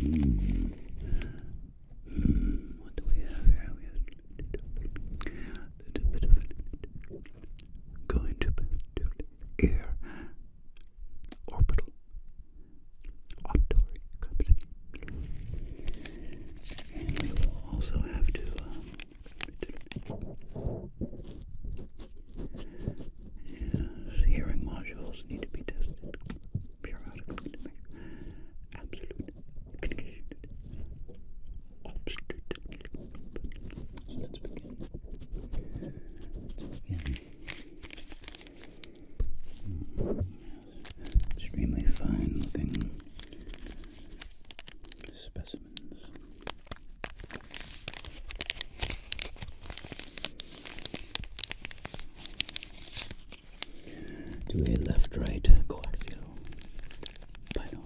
Mm. Mm. What do we have here? We have a little bit of going air orbital optory you will also have to, um, hearing modules need to be tested periodically to hmm. hmm. extremely fine looking specimens. Do a left right coaxial final.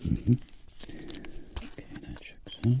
Mm -hmm. Okay, that checks out.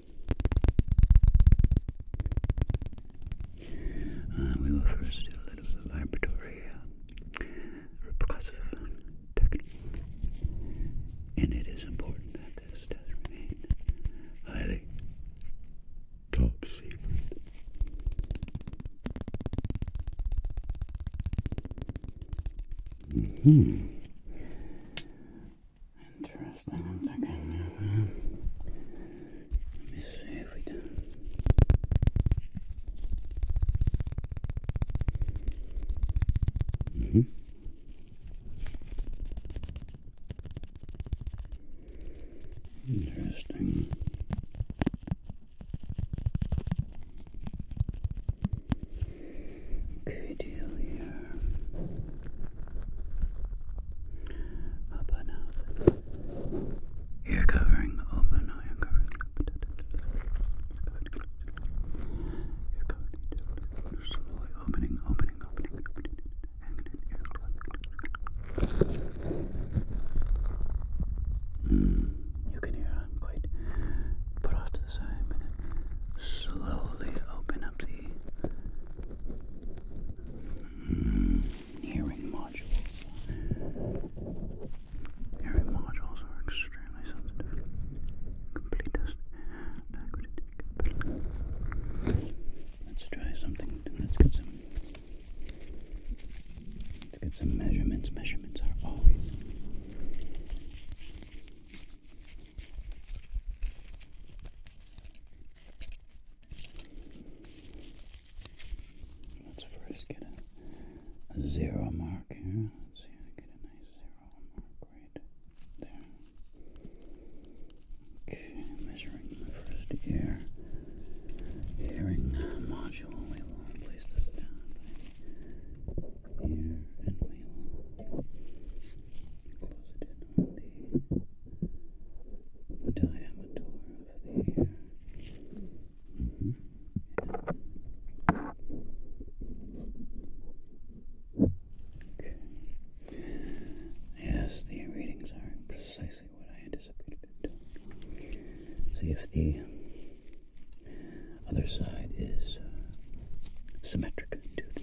Uh, we will first do a little vibratory uh, repressive technique, and it is important that this does highly top secret. Mm-hmm. Interesting, I'm thinking. let me see if we do. -hmm. Interesting good deal here. Up and out. Ear covering open. No, ear covering closed. Ear covering slowly opening, opening, opening, opening, you can hear quite put off to the side, slowly open up the Mm, hearing modules. Hearing modules are extremely sensitive. Complete test. Let's try something. Let's get some. Let's get some measurements. Measurements are always Let's first get a, zero mark here. Let's see if I get a nice zero mark right there. Okay, measuring the first ear. Hearing module, we will place this down here and we will close it on the diameter of the Okay. Yes, the readings are precisely what I anticipated. See if the other side is symmetric to the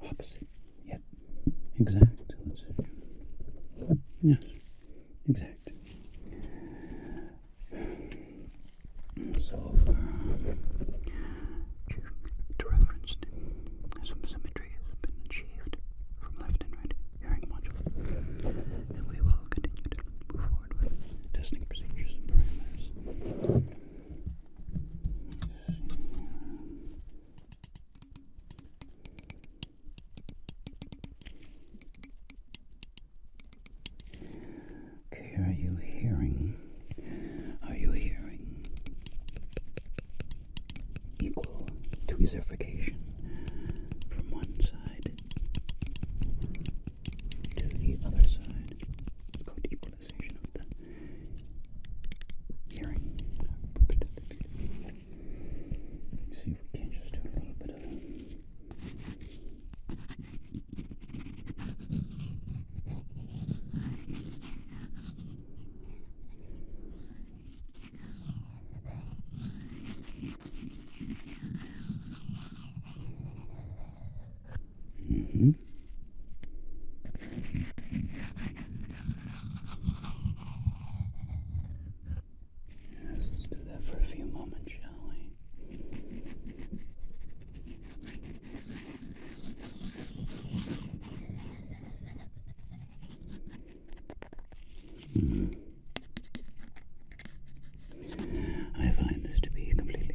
Opposite. Yep. Exact. let Yes. Exact. So, uh, to reference, some symmetry has been achieved from left and right hearing module, and we will continue to move forward with testing procedures and parameters. Okay, are you hearing? Are you hearing equal tweezerification from one side to the other side? It's called equal sensation of the hearing. Let's see if we can just do a little bit of Mm-hmm let's do that for a few moments, shall we? Hmm. I find this to be completely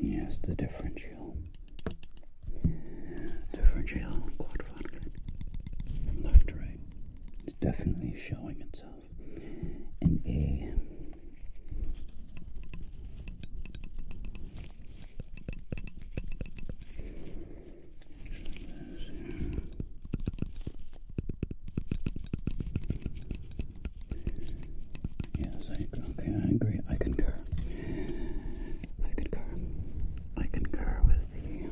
Yes, the differential. Differential quadrant left right. It's definitely showing itself in A Yes, I okay, I agree. I concur. I concur. I concur with the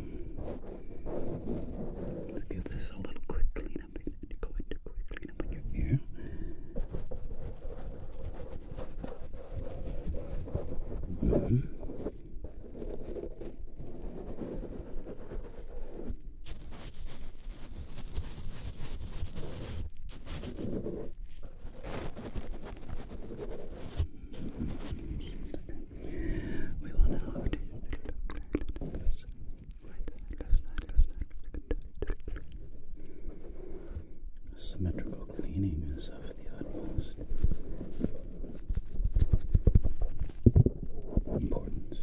um, let's give this a little quick cleanup. Go into quick cleanup on your ear. Mm -hmm. We want to have to right, left side, left side, left side. Symmetrical cleaning is of the utmost importance.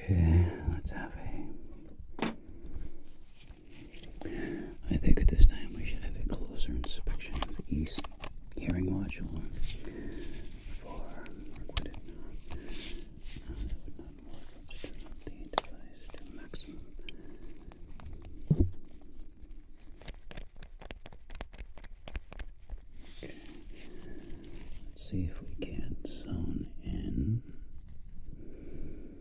Okay, let's have a I think at this time we should have a closer inspection of the east hearing module for work uh, that would not work. Let's the device to maximum. Let's see if we can zone in.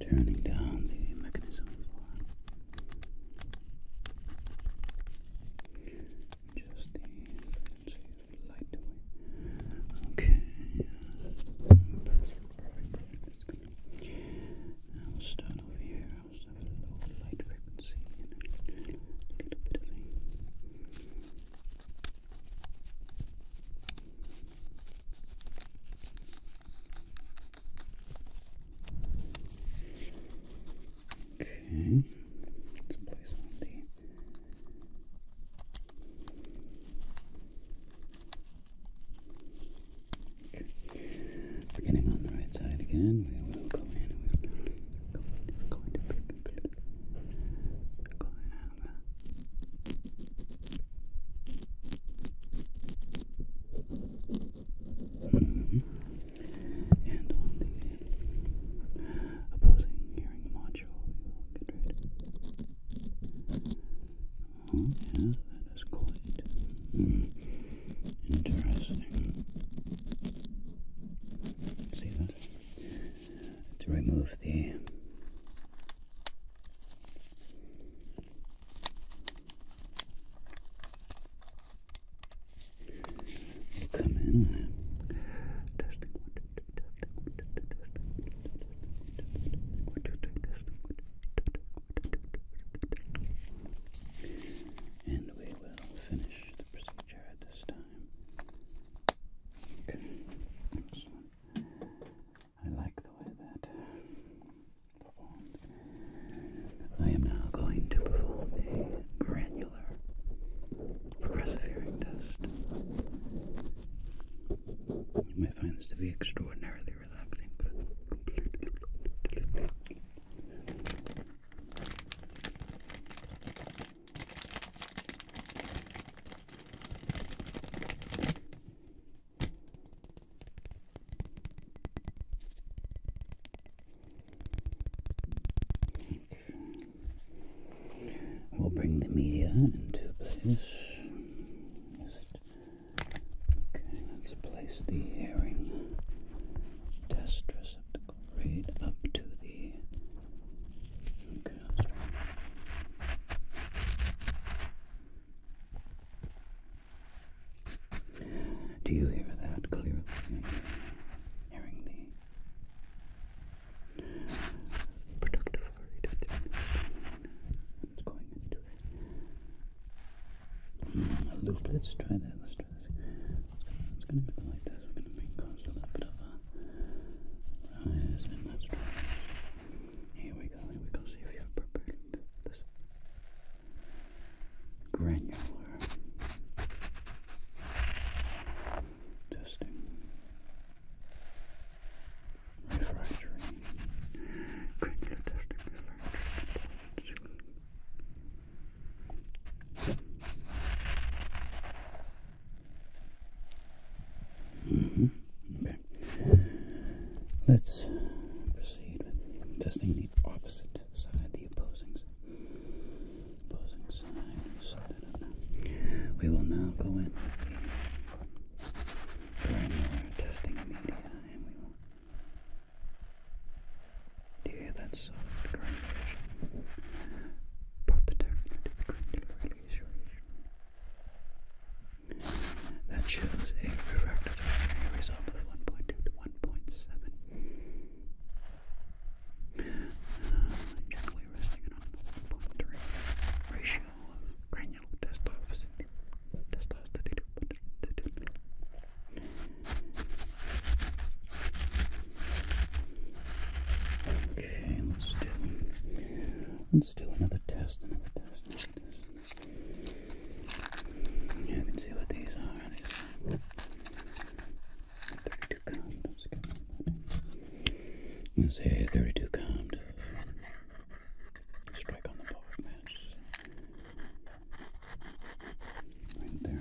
turning down the mechanism for just the frequency of light Okay, perfect, perfect, start over here. I'll just have a low light frequency a little bit of Okay, let's place on the beginning on the right side again. We will go in. We will go in. We're Mm-hmm. And on the opposing hearing module, Oh, yeah, that is quite hmm, interesting. See that? To remove the Come in. And we will finish the procedure this time. Okay, I like the way that I am now going to perform a granular progressive hearing test. You may find this to be extraordinarily relaxing, but We'll bring the media into place. Okay, let's place the herring test receptacle right up to the. Do you hear that clearly? Hearing the productive flurry It's going into it. loop. Let's try that. Let's try this. It's going to go like this. We're going to make cause a little bit of a rise, and here we go, here we go, see if you're prepared. This granular testing. Refractory. Granular testing refractory. hmm Let's proceed with testing the opposite side, the opposing side. we will now go in with the granular testing media and we will do that soft granular? Proper to the granular that shows a refractive result of 1.2 to 1.7. Uh, generally resting on a 1.3 ratio of granular testosterone. Okay, let's do let's do another test, another test. You can see what these are. 32 condoms. Let's say 32 condoms. Strike on the ball match. Right there,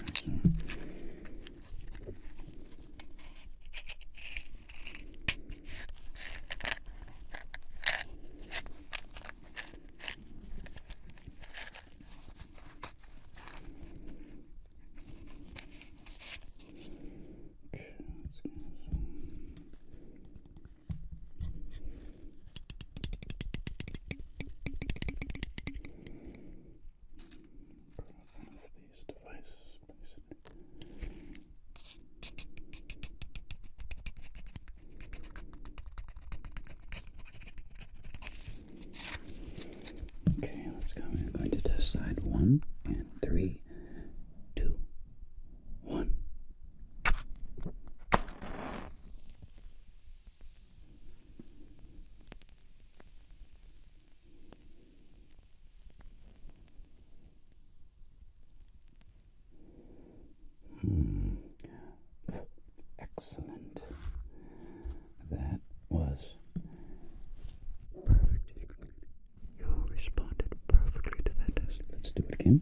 one of these devices. Basically. Okay, let's go. We're going to decide. one and three, two, one. Hmm. Excellent. That was perfect. You responded perfectly to that test. Let's do it again.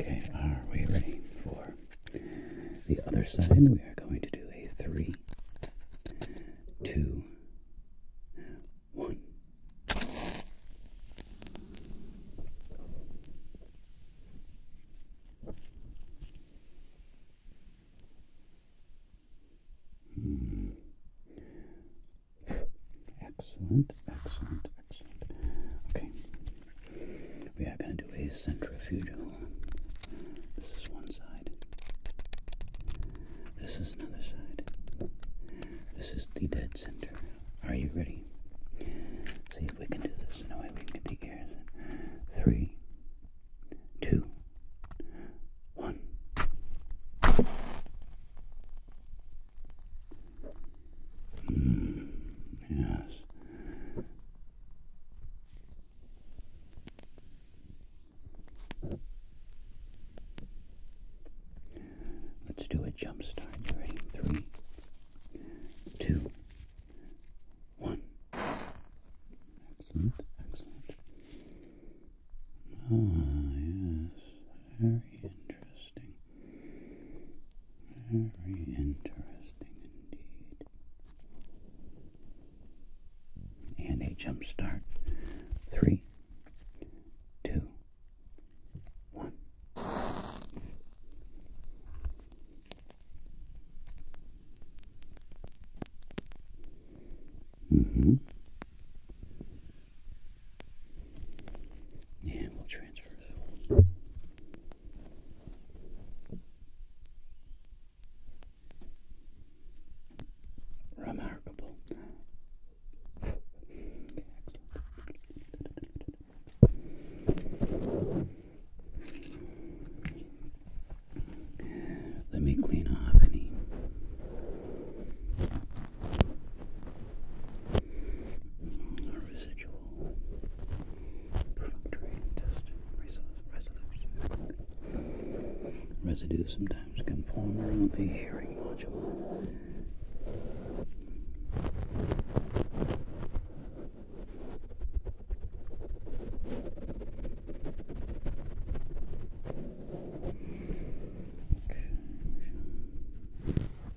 Okay, are we ready for the other side? We are going to do a three, two, one. Hmm. Excellent, excellent. Okay. We are going to do a centrifugal. This is one side. This is another side. This is the dead center. Are you ready? See if we can do this. No way we can get the Three, two, one yes. Let's do a jump start. ready? Three, two, one. Excellent, excellent. Ah, yes. Very interesting. Very interesting indeed. And a jump start. Three, two, one. Mm-hmm. And we'll transfer that one. Remarkable. Let me clean off any a residual perfunctory test resolution. Residues sometimes can form around the hearing module.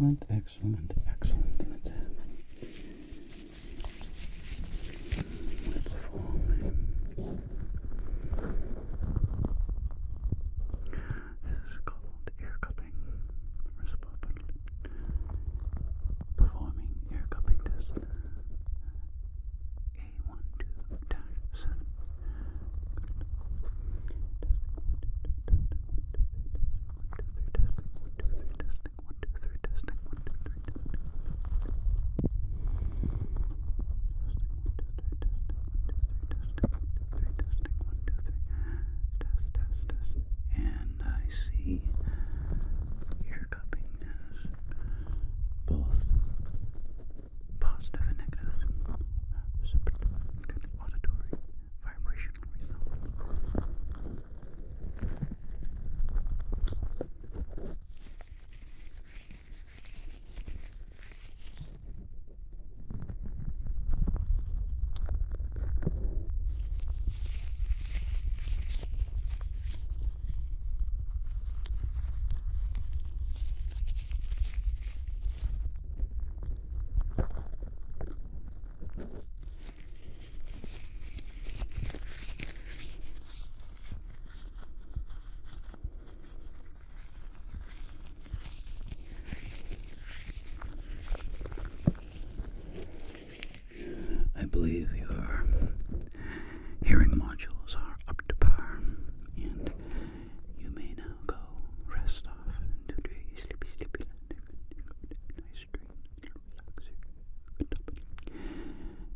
Excellent, excellent, excellent. Let's This is called ear cupping. Performing ear cupping test and I see your cupping has both positive and negative auditory vibrational results. I believe you are hearing modules are up to par, and you may now go rest off and do sleepy, sleepy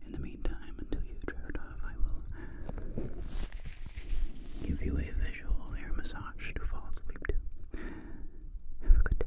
In the meantime, until you drift off, I will give you a visual air massage to fall asleep Have a good day.